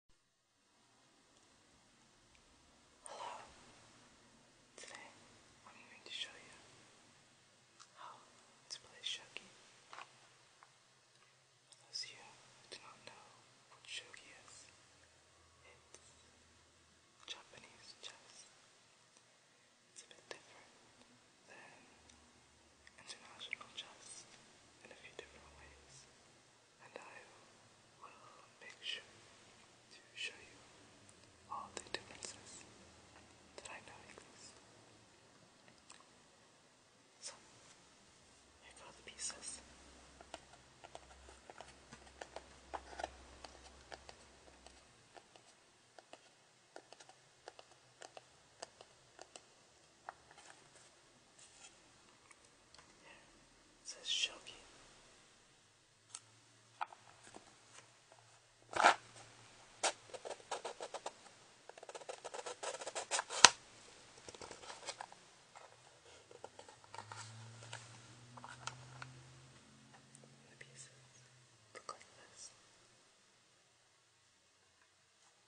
Hello. Today I'm going to show you how to play shogi. those of you who do not know what shogi is, it's Japanese chess. It's a bit different than international chess in a few different ways and I will make sure to show you all the differences that I know exist. So, here go the pieces. It says Shogi. The pieces look like this.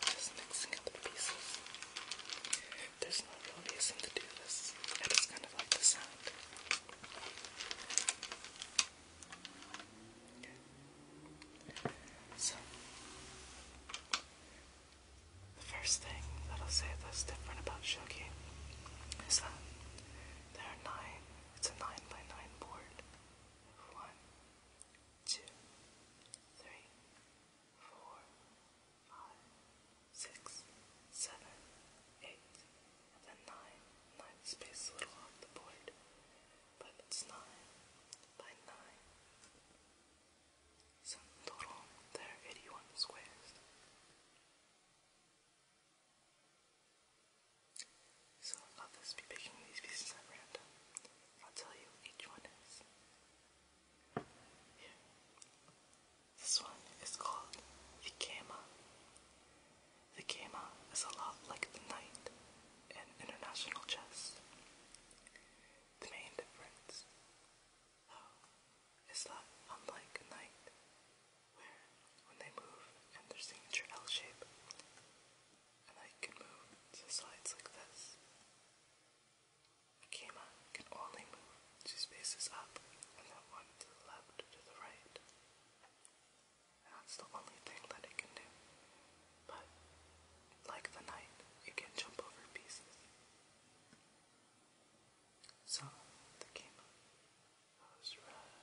Just mixing up the pieces. There's no real reason to do this. I just kind of like the sound. So, the first thing that I'll say that's different about Shogi is that there are nine, it's a 9 by 9 board. One, two, three, four, five, six, seven, eight, and nine. Nine space a little off the board, but it's nine by nine. So total, there 81 squares. So I'll just be picking these pieces at random. I'll tell you each one is. Here. This one is called the Kama. The Kama is a lot like the Knight in international chess. The main difference, though, is that unlike Knight, where when they move in their signature L shape, and I can move to the like this. A can only move two spaces up and then one to the left to the right. that's the only thing that it can do. But, like the knight, it can jump over pieces. So, the Kama goes right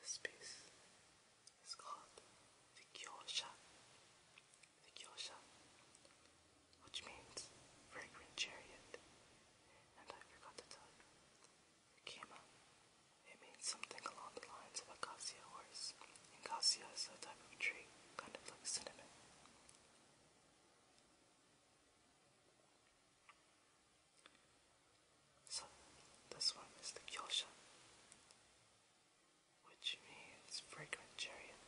this piece is called the Kyosha. The Kyosha, which means fragrant chariot. And I forgot to tell you, Kima. It means something along the lines of a cassia horse. And cassia is a type of tree kind of like cinnamon. So, this one is the Kyosha, which means fragrant chariot.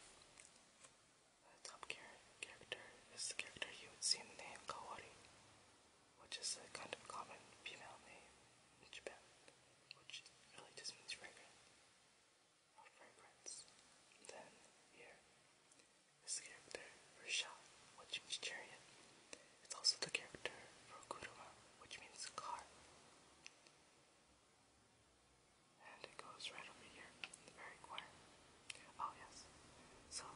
The top character is the character you would see in the name Kawari, which is a kind of common female name in Japan, which really just means fragrant of fragrance. Then, here, is the character for shot, which means chariot. It's also the character for kuruma, which means car. And it goes right over here, the very corner. Oh yes. So,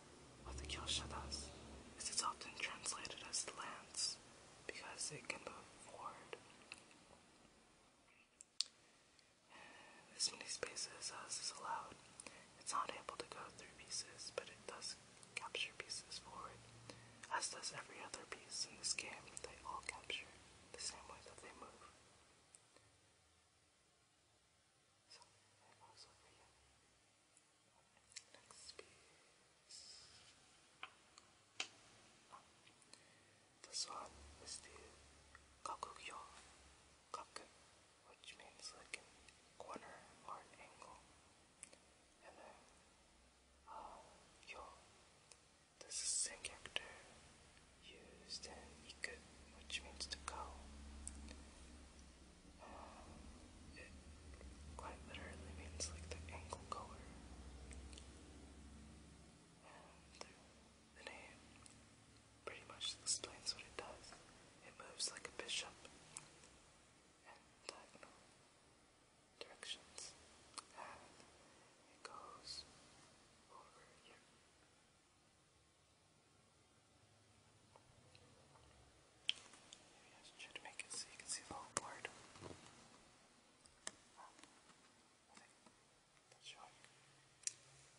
what the kyosha does is it's often translated as lance because it can move forward. As many spaces as uh, is allowed. It's not able to go through pieces, but it does capture pieces forward, as does every other piece in this game. They all capture the same way that they move. So, it goes over here. Next piece. This one is the kakugyo, kaku, which means like a corner or an angle. And then yo, this is the same character used in iku, which means to go. it quite literally means like the angle goer the name pretty much explains what it does. It moves like a bishop in diagonal directions, and it goes over here. Maybe I should make it so you can see the whole board. I think. sure.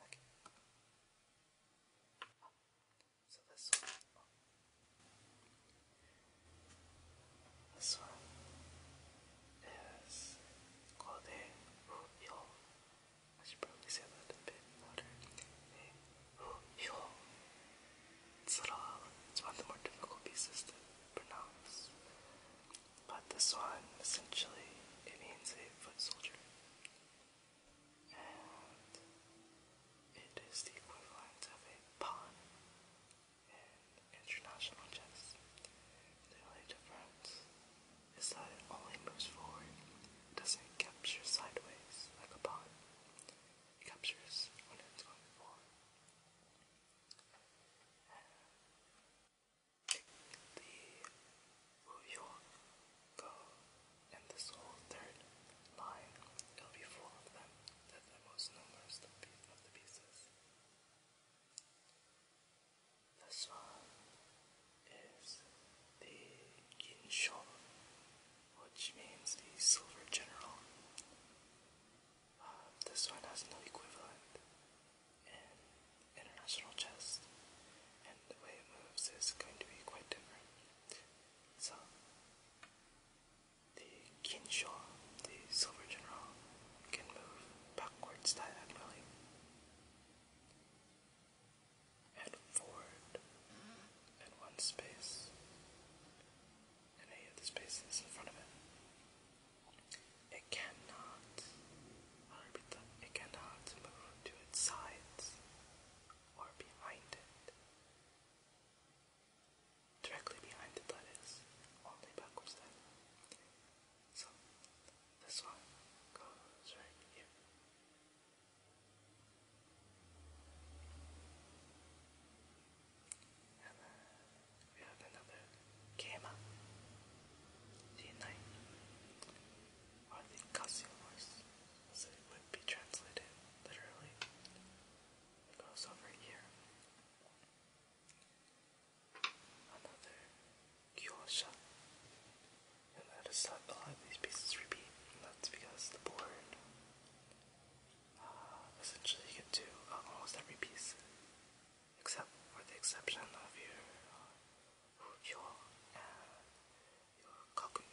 Okay. so this one. This one is Kode Hu I should probably say that a bit louder. Hu It's one of the more difficult pieces to pronounce. But this one, essentially, it means a foot soldier. And it is the equivalent of a pawn in international chess. The only difference is that it only moves forward. doesn't capture sideways like a pawn. It captures when it's going forward the Uyghur and this whole third line, will be full of them. they the most numerous of the pieces. This one is the Ginsho, which means the Silver General this one has no equivalent in international chess, and the way it moves is going to be quite different. So, the Kinshaw, the Silver General, can move backwards diagonally and forward in one space, and any of the spaces in front of it. It cannot, i it cannot move to its sides or behind it. Directly behind it, that is, only backwards So, this one goes right here and uh, we have another Kema, D9, I think Cassiolus, as it would be translated literally. goes over here. Another Kyosha. And I just a lot of these pieces repeat, and that's because the board uh, essentially you get to uh, almost every piece except for the exception of your uh, your uh, your cock and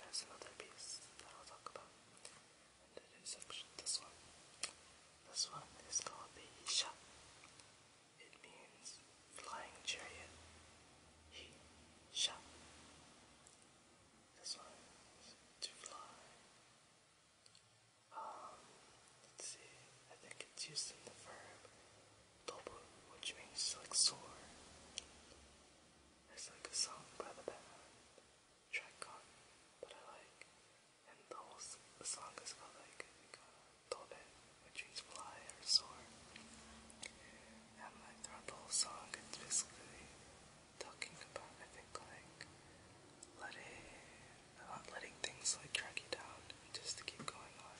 there's another piece that I'll talk about in the This one. This one is called the Isha. It means flying chariot. He This one is to fly. Um, let's see. I think it's used in the verb tobu, which means like sore. It's like a song by the band Tricon that I like, and the whole the song is called like tobe, uh, which means fly or sore. And like throughout the whole song, it's basically talking about I think like letting i not letting things like drag you down just to keep going on.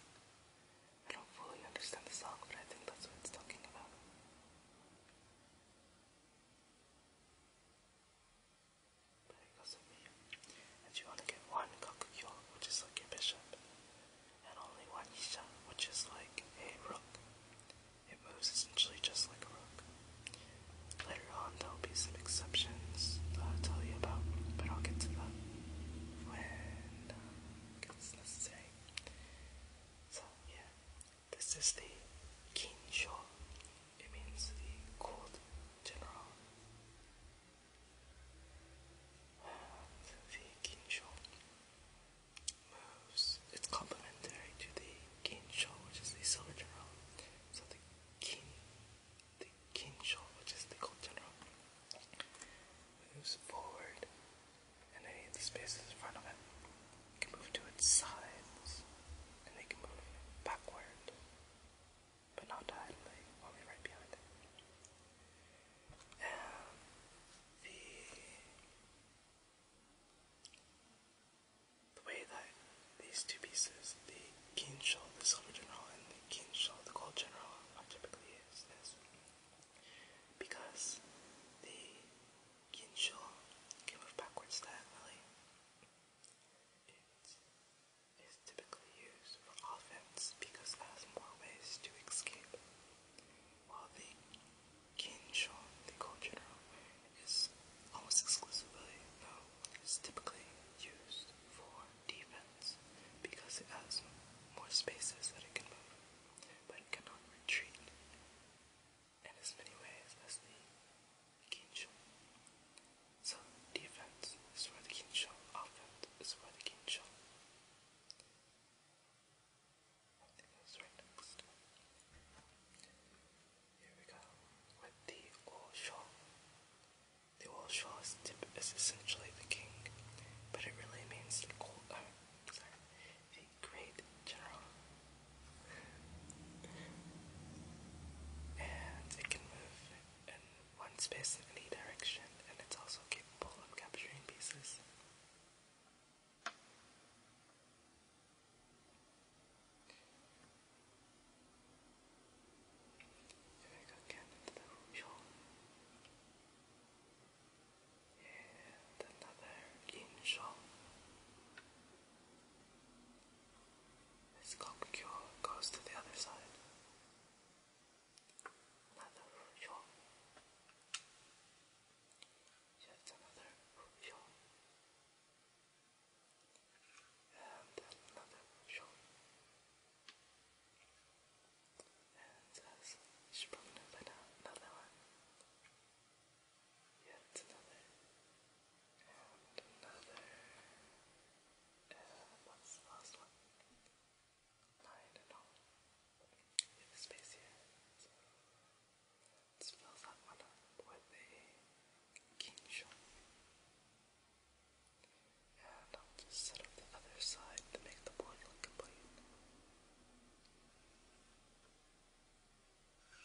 I don't fully understand the song, but I think that's what it's talking about. But it goes with me. want to get one Kakuyo, which is like a bishop, and only one Isha, which is like a rook. It moves essentially just like a rook. Later on, there'll be some exceptions I'll tell you about, but I'll get to that when uh, it's necessary. So, yeah, this is the Kinsho. It means the cold general. the Kinsho moves, it's complementary to the Kinsho, which is the silver general. So the Kin the Kinsho, which is the gold general, moves forward and any of the spaces in front of it can move to its sides and they can move backward, but not diagonally, only right behind it. And the the way that these two pieces, the Kinshaw, the silver general, and the Kinshaw, the gold general, are typically used is because the Kinshaw can move backwards diagonally. It is typically used for offense because it has more ways to escape, while the Kinshaw, the gold general, is almost exclusively, no, it's typically used for defense because it has more spaces that it can move, but it cannot retreat in as many ways as the Kinsho. So defense is for the Kinsho, offense is for the Kinsho. I right next. Here we go with the Oshaw. The Oshaw's tip is essentially the king, but it really means uh, the great general. And it can move in one space in any direction, and it's also capable of capturing pieces. 여기 가게 하는 the room and another in shop the goes to the other side another room yet another room and another shoulder. And as she probably another one, yet another, and another, what's the last one? No, I do space here, so let's one with a king shot. And I'll just set up the other side to make the board look complete. One,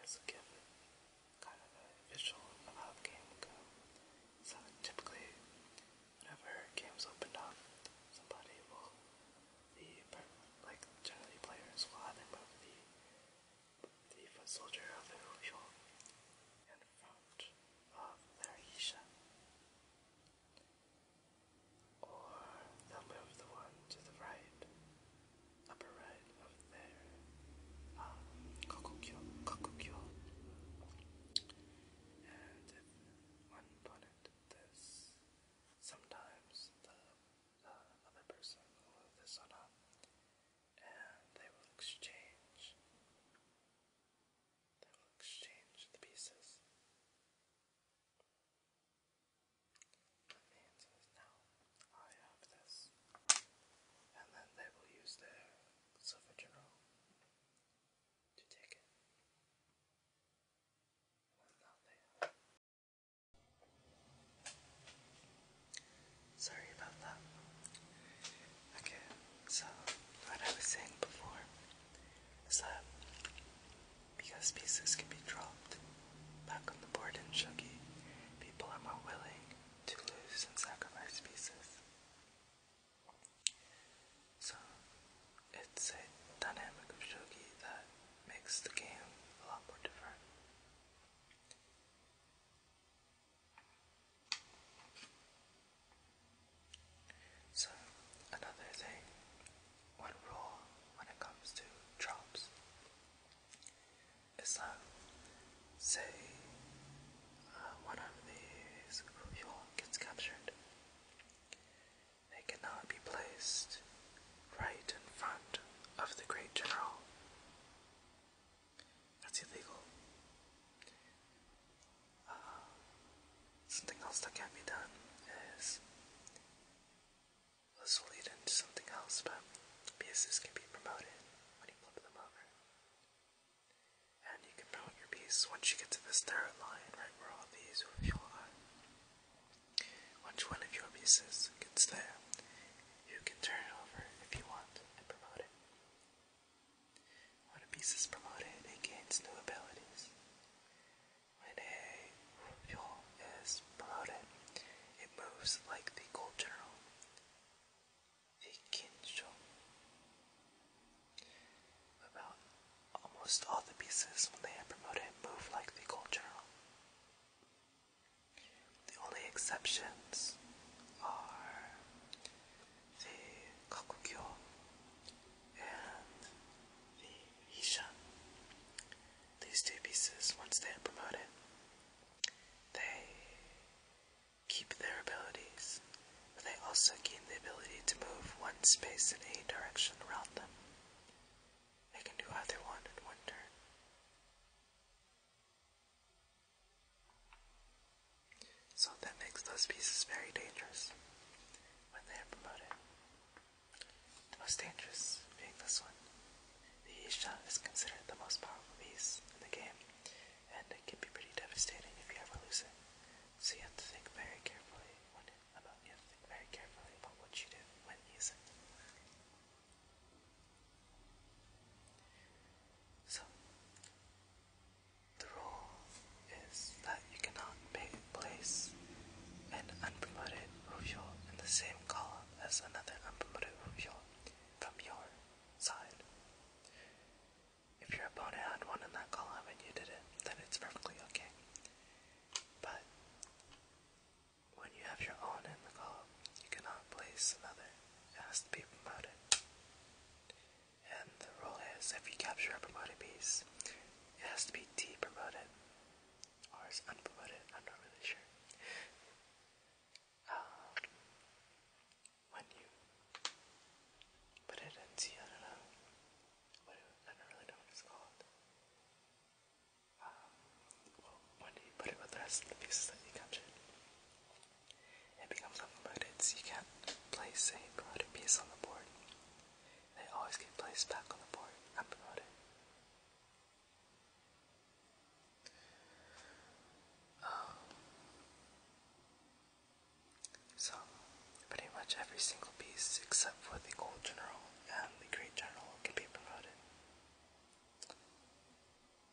has given kind of a visual uh, game So typically, whenever games opened up, somebody will, the like generally players will either move the the foot soldier of their wheel in front of their Isha, or they'll move the one to the right upper right of their um, ah, Kokukyo, Kokukyo. And one opponent this, sometimes the, other person will have this one up, and they will exchange. They will exchange the pieces. The I have this. And then they will use their silver general to take it. Sorry about that. Okay, so what I was saying before is that because pieces can be dropped Back on the board in Shogi, people are more willing to lose and sacrifice pieces. So, it's a dynamic of Shogi that makes the game a lot more different. So, another thing, one rule when it comes to drops Islam say uh, one of these Ruhul gets captured. They cannot be placed right in front of the great general. That's illegal. Uh, something else that can be done is this will lead into something else, but pieces can be promoted when you flip them over. And you can promote your piece once you get to this third line, right where all these are. Once one of your pieces gets there, you can turn it over if you want and promote it. When a piece is promoted, it gains new abilities. When fuel is bloated. It moves like the gold general, the Kinsho. About almost all the pieces when they are promoted move like the gold general. The only exceptions are the Kakukyo and the Isha. These two pieces, once they are promoted, they keep their abilities, but they also gain the ability to move one space in any direction around them. They can do either one in one turn. So that makes those pieces very dangerous when they are promoted. The most dangerous being this one. The Ishan is considered the most powerful beast in the game, and it can be pretty devastating if you ever lose it. So you have to think very carefully about you very carefully about what you do when using. So the rule is that you cannot place an unpromoted Rufiel in the same column that's another maneuver from your side. If your opponent had one in that column and you did it, then it's perfectly okay. But when you have your own in the column, you cannot place another. It has to be promoted. And the rule is if you capture a promoted piece, it has to be depromoted or is unpromoted, I'm not really sure. Um, when you put it into, I don't know, I don't really know what it's called. Um, well, you put it with the rest of the pieces that you captured, it becomes unpromoted, so you can't place a promoted piece on the board. They always get placed back on the board unpromoted so, pretty much every single piece except for the gold general and the great general can be promoted.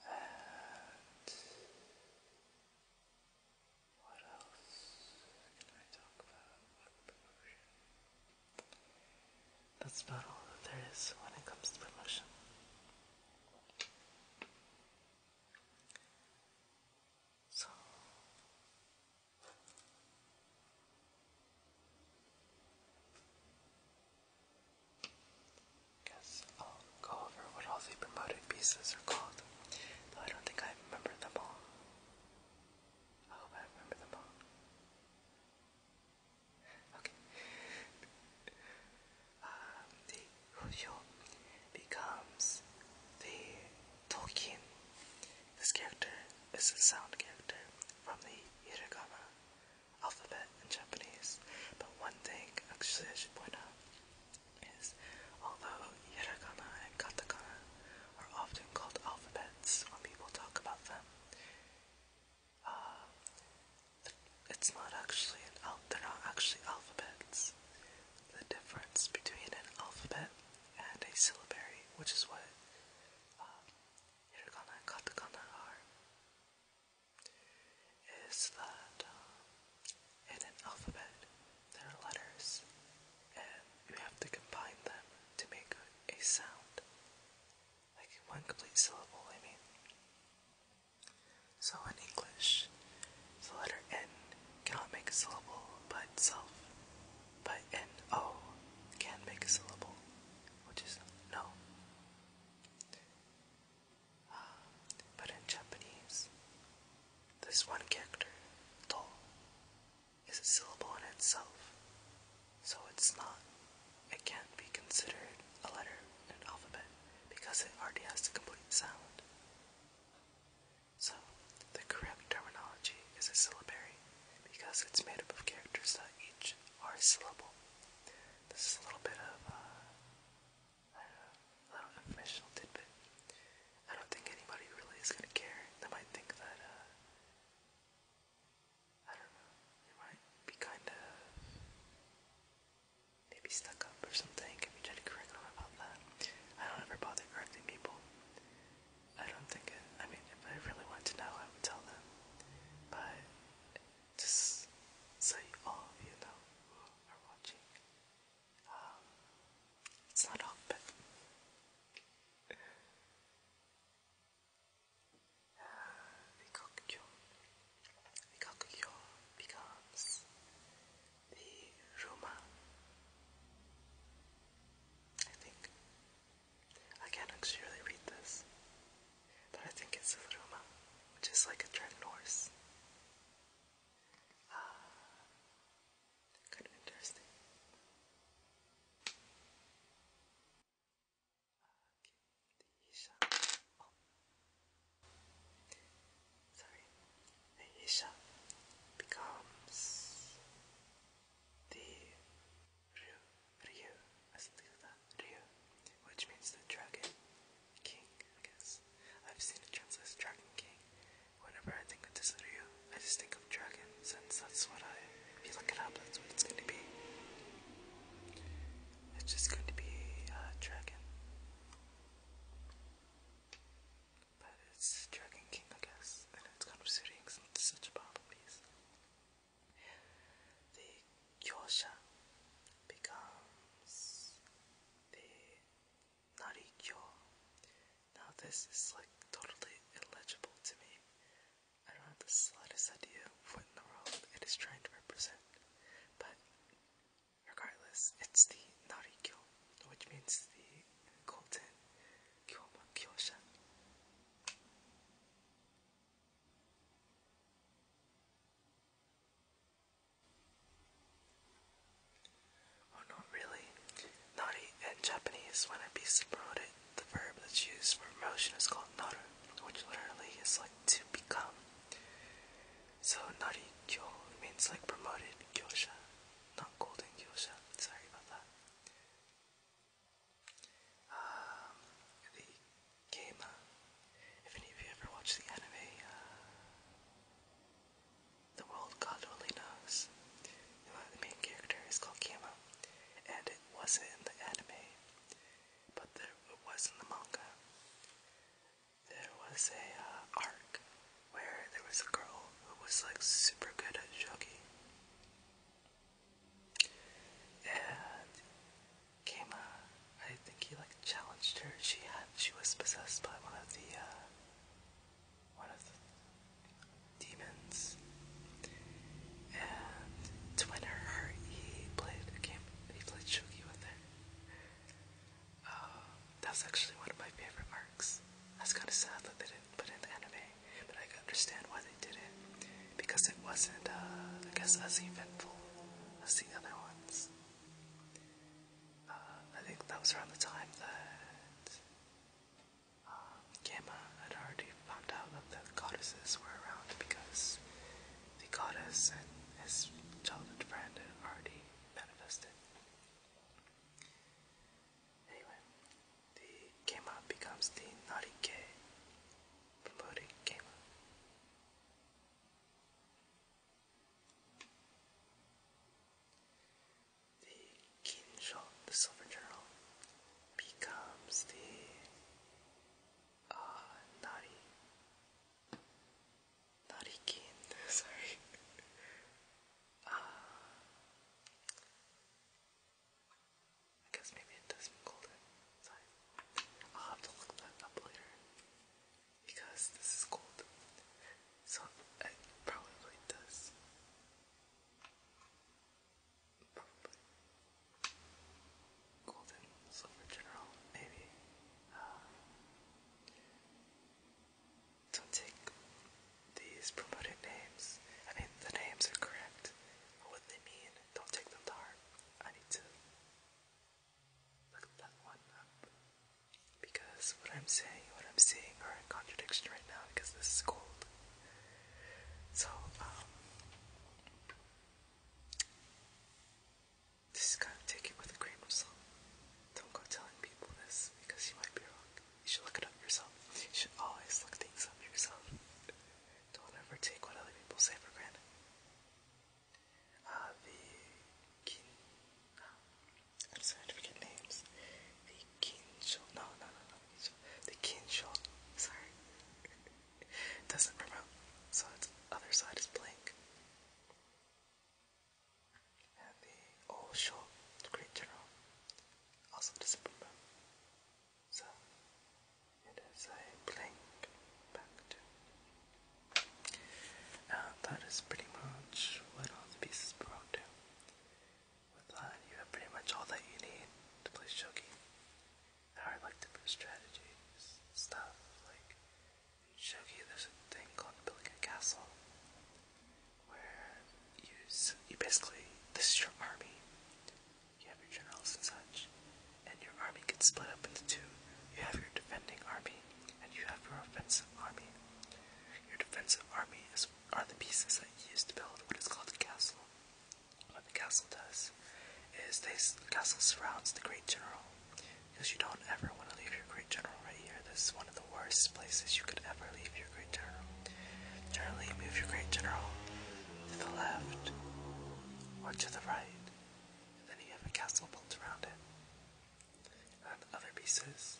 And what else can I talk about? promotion? That's about all that there is when it comes to promotion. So, guess I'll go over what all the promoted pieces are called, I don't think I remember them all. I hope I remember them all the Fusho becomes the Tolkien. This character is a sound character from the hiragana alphabet in Japanese. But one thing actually I should point out is although hiragana and katakana are often called alphabets when people talk about them, uh, it's not actually an al they're not actually alphabets. The difference between an alphabet and a syllabary, which is what uh, hiragana and katakana are, is that um, in an alphabet there are letters, and you have to combine them to make a sound like one complete syllable, I mean. So in English, the letter N cannot make a syllable by itself, but N-O can make a syllable, which is no. Uh, but in Japanese, this one character, to, is a syllable in itself, so it's not, it can't be considered a letter in an alphabet because it already has the complete sound. So, the correct terminology is a syllabary because it's made up of characters that each are a syllable. This is a little bit of uh, I don't a little informational tidbit. I don't think anybody really is going to care. They might think that uh, I don't know, it might be kind of maybe stuck up or something if you try to correct them about that. I don't ever bother correcting people. I don't think it, I mean, if I really wanted to know, I would tell them. But just so all of you know who are watching, um, it's not all, Rikokyo. Rikokyo becomes the Roma. I think. I can't actually read this, but I think it's the Roma, which is like a dragon horse. kind of interesting the oh. Sorry, the Isha becomes the Ryu, Ryu, Ryu, which means the Dragon King, I guess. I've seen it translated Dragon King. Whenever I think of this Ryu, I just think of Dragon since that's what I, if you look it up, that's what it's going to be. It's just going to be a Dragon. But it's Dragon King, I guess, and it's kind of suiting since it's such a powerful piece. The Kyosha becomes the Narikyo. Now, this is like totally illegible to me. I don't have the slightest idea what in the world it is trying to represent, but regardless, it's the Narikyo, which means the golden Kyoma Kyosha. Oh, not really. Nari in Japanese when I be promoted the verb that's used for motion is called naru, which literally is like to become. So nari kyo means like promoted kyosha, not golden kyosha. Sorry about that. Um, the game. Uh, if any of you ever watched the anime, uh, the world God only knows. The main character is called Kama, and wasn't in the anime, but there it was in the manga. There was a uh, arc where there was a girl who was like super good at shogi, and Kama, I think he like challenged her. She had she was possessed by one of the uh, one of the demons. And to he played a game. He played shogi with her. Uh, um, that's actually one of my favorite arcs. That's kind of sad that they didn't put in the anime, but I can understand why they did it because it wasn't, uh, I guess, as eventful as the other ones. Uh, I think that was around the time that um, had already found out that the goddesses were around because the goddess and his childhood friend had already manifested. Anyway, the Gamma becomes the Naughty K, promoting The Kinsho, the Silver Journal, becomes the uh, nari narikin. Sorry. Uh, I guess maybe it does call it. Sorry. I'll have to look that up later because this is cold. So it probably does. Golden Silver General, maybe. Um, don't take these promoted names. I mean, the names are correct, but what they mean, don't take them to I need to look that one up. Because what I'm saying, what I'm seeing are in contradiction right now because this is so, just kind of take it with a grain of salt. Don't go telling people this because you might be wrong. You should look it up yourself. You should always look things up yourself. Don't ever take what other people say for granted. Uh, the kin. I'm starting to forget names. The kincho. No, no, the kinshot, sorry, doesn't promote, so its other side is blank. And the old shot, great general, also doesn't promote, so it is a blank back to. Uh, that is pretty much what all the pieces belong to. With that, you have pretty much all that you need to play shogi. There are like different strategies, stuff like shogi. There's a thing called building a castle, where you you basically this is your army. You have your generals and such, and your army gets split up into two. You have your defending army, and you have your offensive army. Your defensive army is are the pieces that you use to build what is called a castle. What the castle does is the castle surrounds the great general because you don't ever want to leave your great general right here. This is one of the worst places you could ever leave your great general. Generally, move your great general to the left or to the right, and then you have a castle built around it. And other pieces,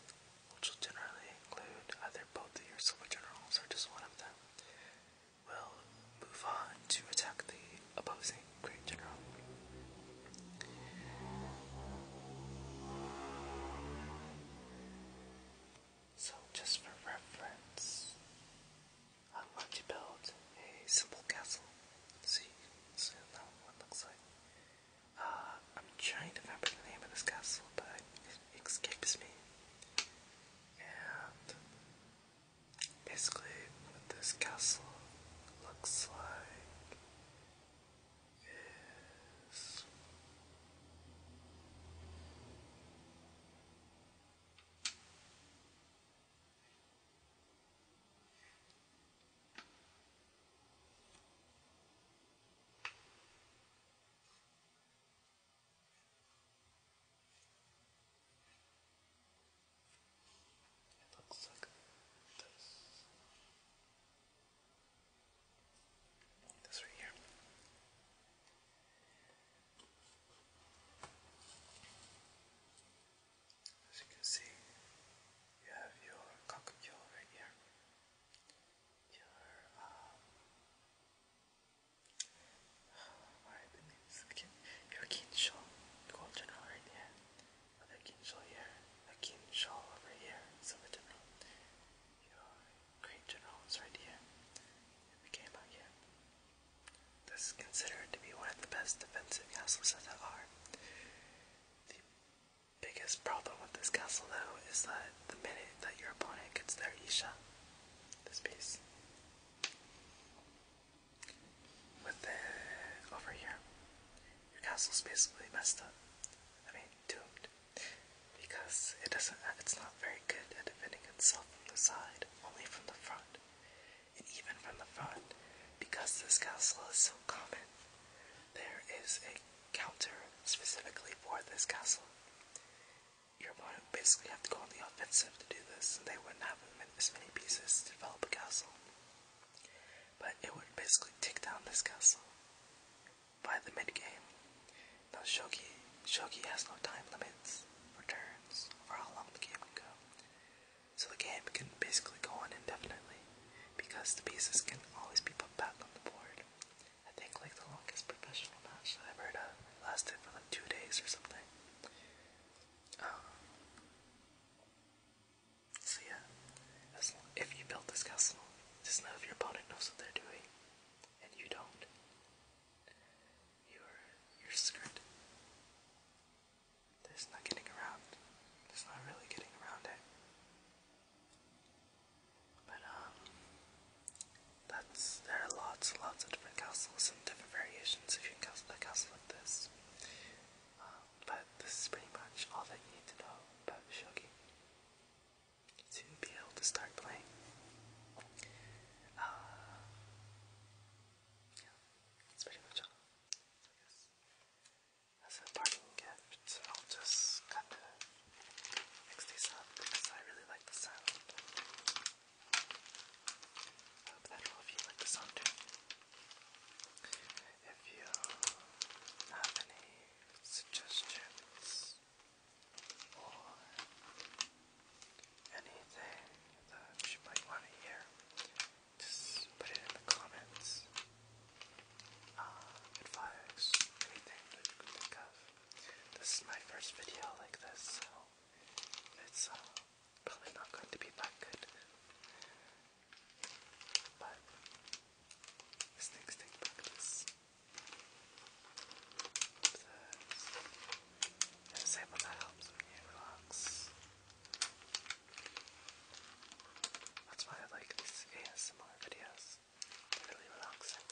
which will generally include either both of your silver generals or just one of them, will move on to attack the opposing Great General. So, just for reference, I want to build a simple castle. See, so that one looks like. Uh, I'm trying to remember the name of this castle, but it escapes me and basically what this castle looks like is it looks like this. This right here. As you can see, you have your cockatiel right here. Your um, Alright, the name is Kin. You're Kinshaw. Gold right here. Another Kinshaw here. A Kinshaw over here. Silver General. Your Green General is right here. we came out here. This is considered to be one of the best defensive castles that there are. The biggest problem with this castle, though, is that the minute that your opponent gets their Isha, this piece. With the over here, your castle's basically messed up. I mean, doomed, because it doesn't. It's not very good at defending itself from the side, only from the front, and even from the front, because this castle is so common. There is a counter specifically for this castle. You're going to basically have to go on the offensive to do this, and they wouldn't have as many pieces to develop a castle. But it would basically take down this castle by the mid-game. Now Shogi, Shogi has no time limits for turns or how long the game can go. So the game can basically go on indefinitely because the pieces can always be put back on the board. I think like the longest professional match that I've ever of. lasted for like two days or something. Um, so yeah, if you build this castle, just know if your opponent knows what they're doing, and you don't, you're you're screwed. There's not getting around. There's not really getting around it. But um, that's there are lots and lots of different castles and different variations of you can castle a castle like this. Um, but this is pretty much all that you need to know about Shogi to be able to start playing. Uh, yeah, that's pretty much all. As a parting gift, I'll just kind of mix up because I really like the sound. I hope that all of you like the song If you have any suggestions or anything that you might want to hear, just put it in the comments. Uh, advice, anything that you can think of. This is my first video like this, so it's uh, probably not going to be that good. But these things take practice. This is able to help me relax. That's why I like these ASMR videos. really relaxing.